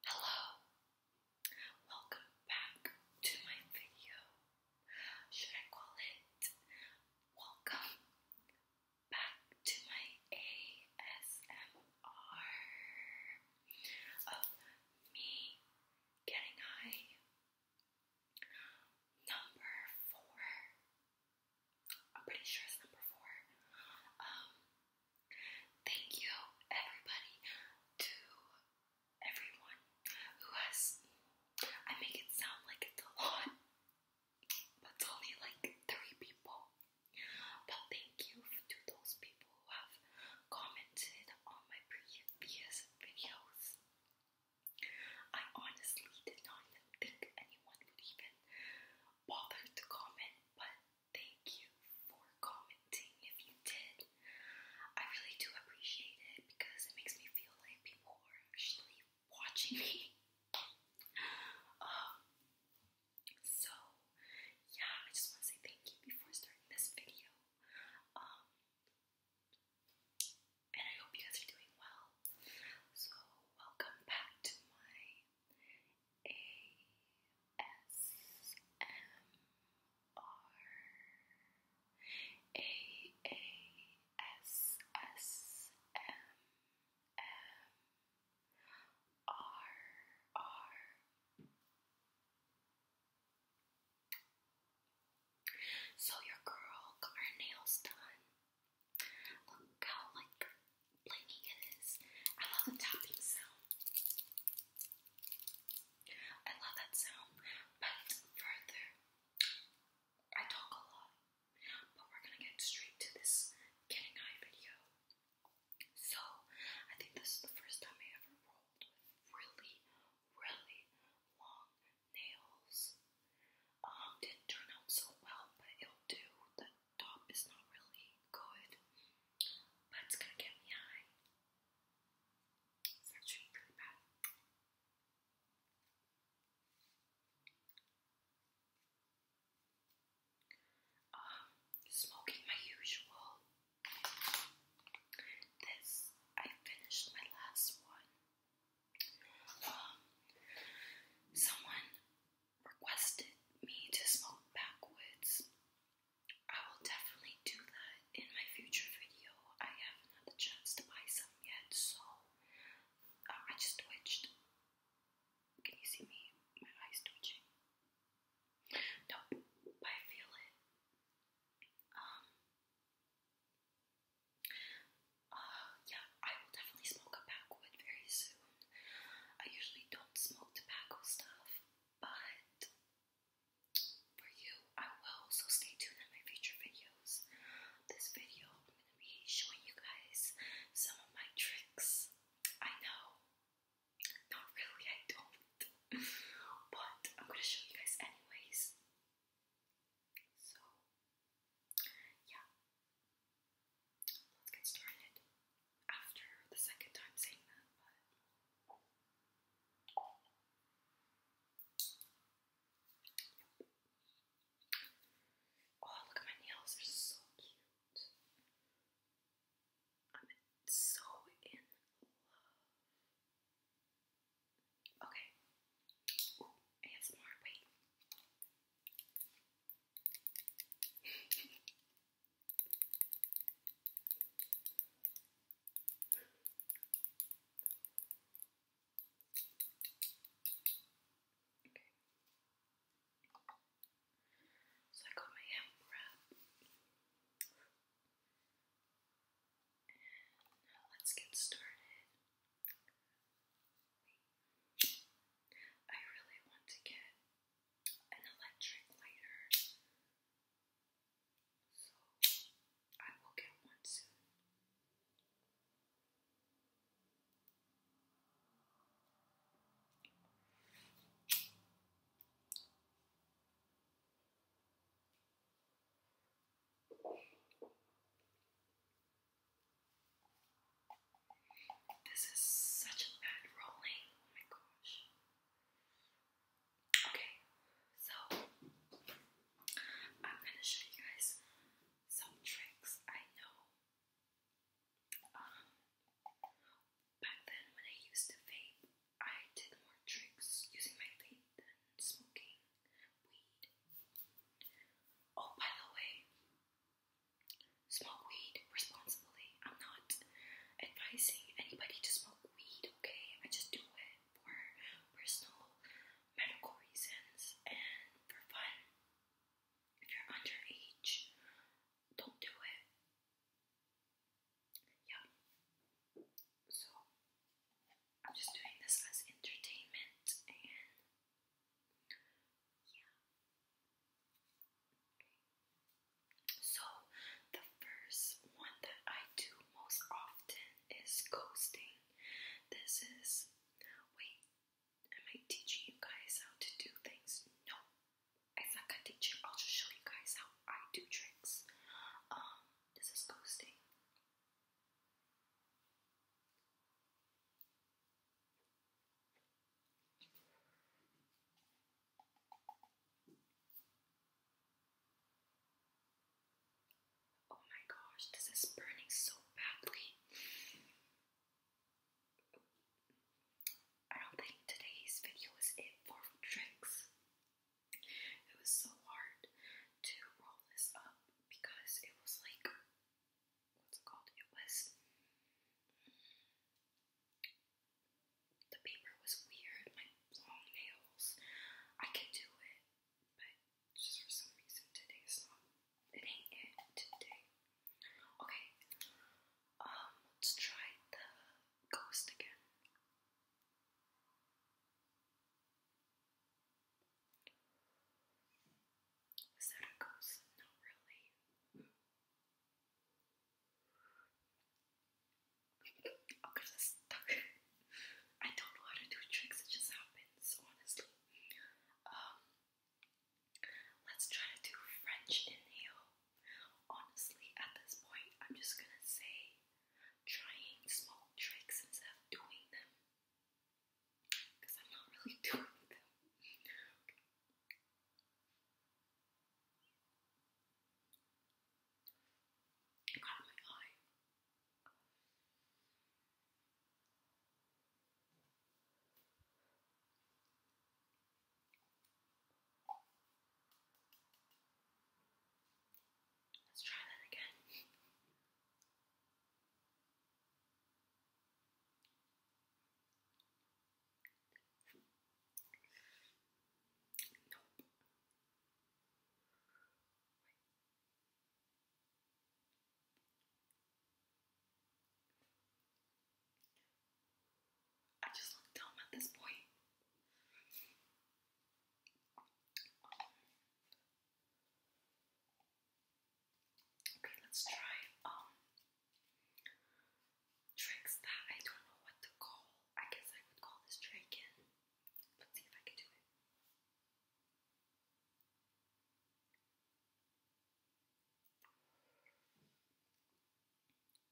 Hello, welcome back to my video. Should I call it Welcome Back to My ASMR of Me Getting High? Number four. I'm pretty sure it's number four. Um, Thank you, everybody, to everyone who has. I make it sound like it's a lot, but it's only like three people. But thank you to those people who have commented on my previous videos. I honestly did not think anyone would even bother to comment, but Thank you for commenting if you did. I really do appreciate it because it makes me feel like people are actually watching me. um, so, yeah, I just want to say thank you before starting this video. Um, and I hope you guys are doing well. So, welcome back to my so your girl got her nails done. Look how like blingy it is. I love the tapping sound. I love that sound, but further, I talk a lot, but we're gonna get straight to this getting eye video. So, I think this is the first time I ever rolled with really, really long nails. Um, didn't turn out so well, but it'll do top is not really good, but it's gonna get me high. It's actually pretty bad. Um, smoking my usual. This I finished my last one um, someone requested me to smoke backwoods. I will definitely do that in my future video. I haven't the chance to buy some yet, so uh, I just twitched. Can you see me? My eyes twitching. No, I feel it. Um, uh, yeah, I will definitely smoke a pack wood very soon. I usually don't smoke tobacco stuff, but for you, I will. So stay tuned on my future videos. This video, I'm gonna be showing you guys some of my tricks. I know, not really, I don't, but I'm gonna show you guys anyways. So, yeah, let's get started after the second time saying that, but. Yep. Oh, look at my nails, they're so cute. I'm so in love Okay. Ooh, more. Wait. So I got my hemp wrap. let's get started. Wait. I really want to get an electric lighter. So I will get one soon. This is such a bad rolling. Oh okay, so I'm gonna show you guys some tricks I know. Um, back then when I used to vape, I did more tricks using my vape than smoking. Oh, by the way, smoke weed responsibly. I'm not advising anybody to smoke weed, okay? I just do it for personal medical reasons and for fun. If you're underage, don't do it. Yeah. So I'm just doing this as entertainment and yeah. So the first one that I do most often is coasting. This is wait, am I teaching you guys how to do things? No. As like a teacher, I'll just show you guys how I do tricks. Um, this is ghosting. Oh my gosh, this is burning so badly. I don't think today's video is it for tricks. It was so hard to roll this up because it was like, what's it called? It was, the paper was weird. My long nails, I can do it, but just for some reason today it's not, it ain't it today. Okay, um, let's try the ghost again. Is that a ghost? Not really. Oh, cause I stuck. I don't know how to do tricks. It just happens, honestly. Um, let's try to do French inhale. Honestly, at this point, I'm just gonna say trying small tricks instead of doing them. Because I'm not really doing them. I got my eye. Let's try that again. nope. Wait. I just look dumb at this point. Okay, let's try um tricks that I don't know what to call. I guess I would call this dragon. Let's see if I can do it.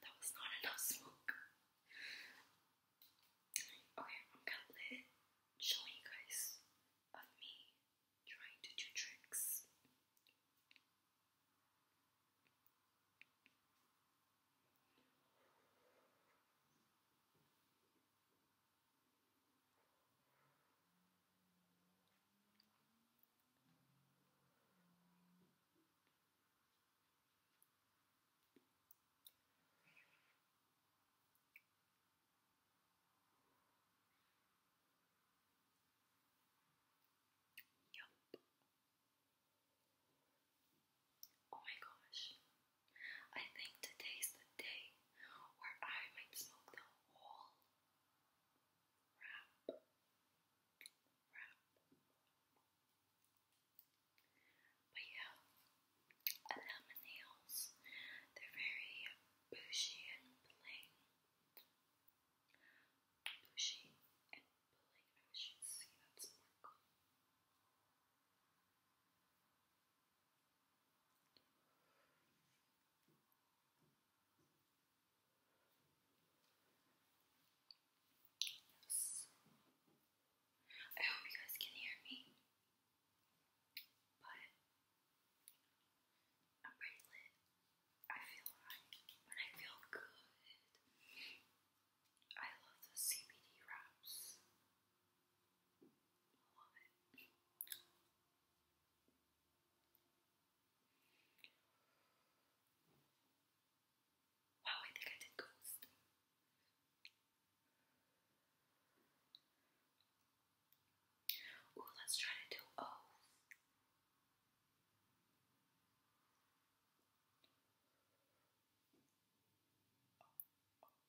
that was not enough smoke. Okay, I'm gonna let show you guys of me trying to do tricks. Yup. Oh my gosh. I think today's the day where I might smoke the whole wrap, But yeah, I love my nails. They're very bushy and bling. Bushy and bling. I wish you see that sparkle. Yes. I hope you guys can hear me. But I'm pretty lit. I feel right, but I feel good. I love the CBD wraps. I love it. Wow, I think I did ghost. Ooh, let's try to do O's. Oh, oh,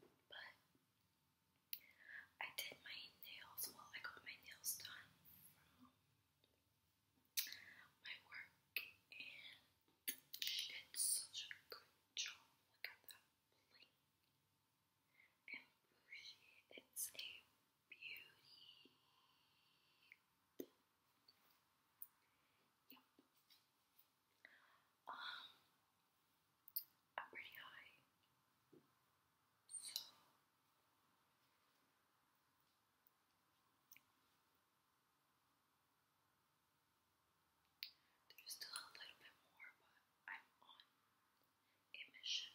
But I did my nails, well, I got my nails done my work, and she did such a good job. Look at that bling and bougie. It's a beauty. Yep. Um, I'm pretty high. So. There's still a little bit more, but I'm on a mission.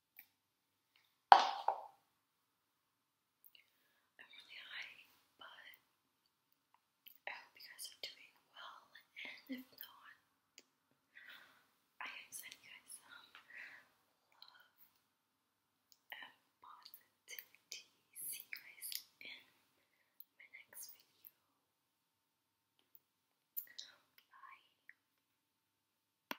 I'm really high, but I hope you guys are doing well, and if not, I am sending you guys some love and positivity. See you guys in my next video. Bye.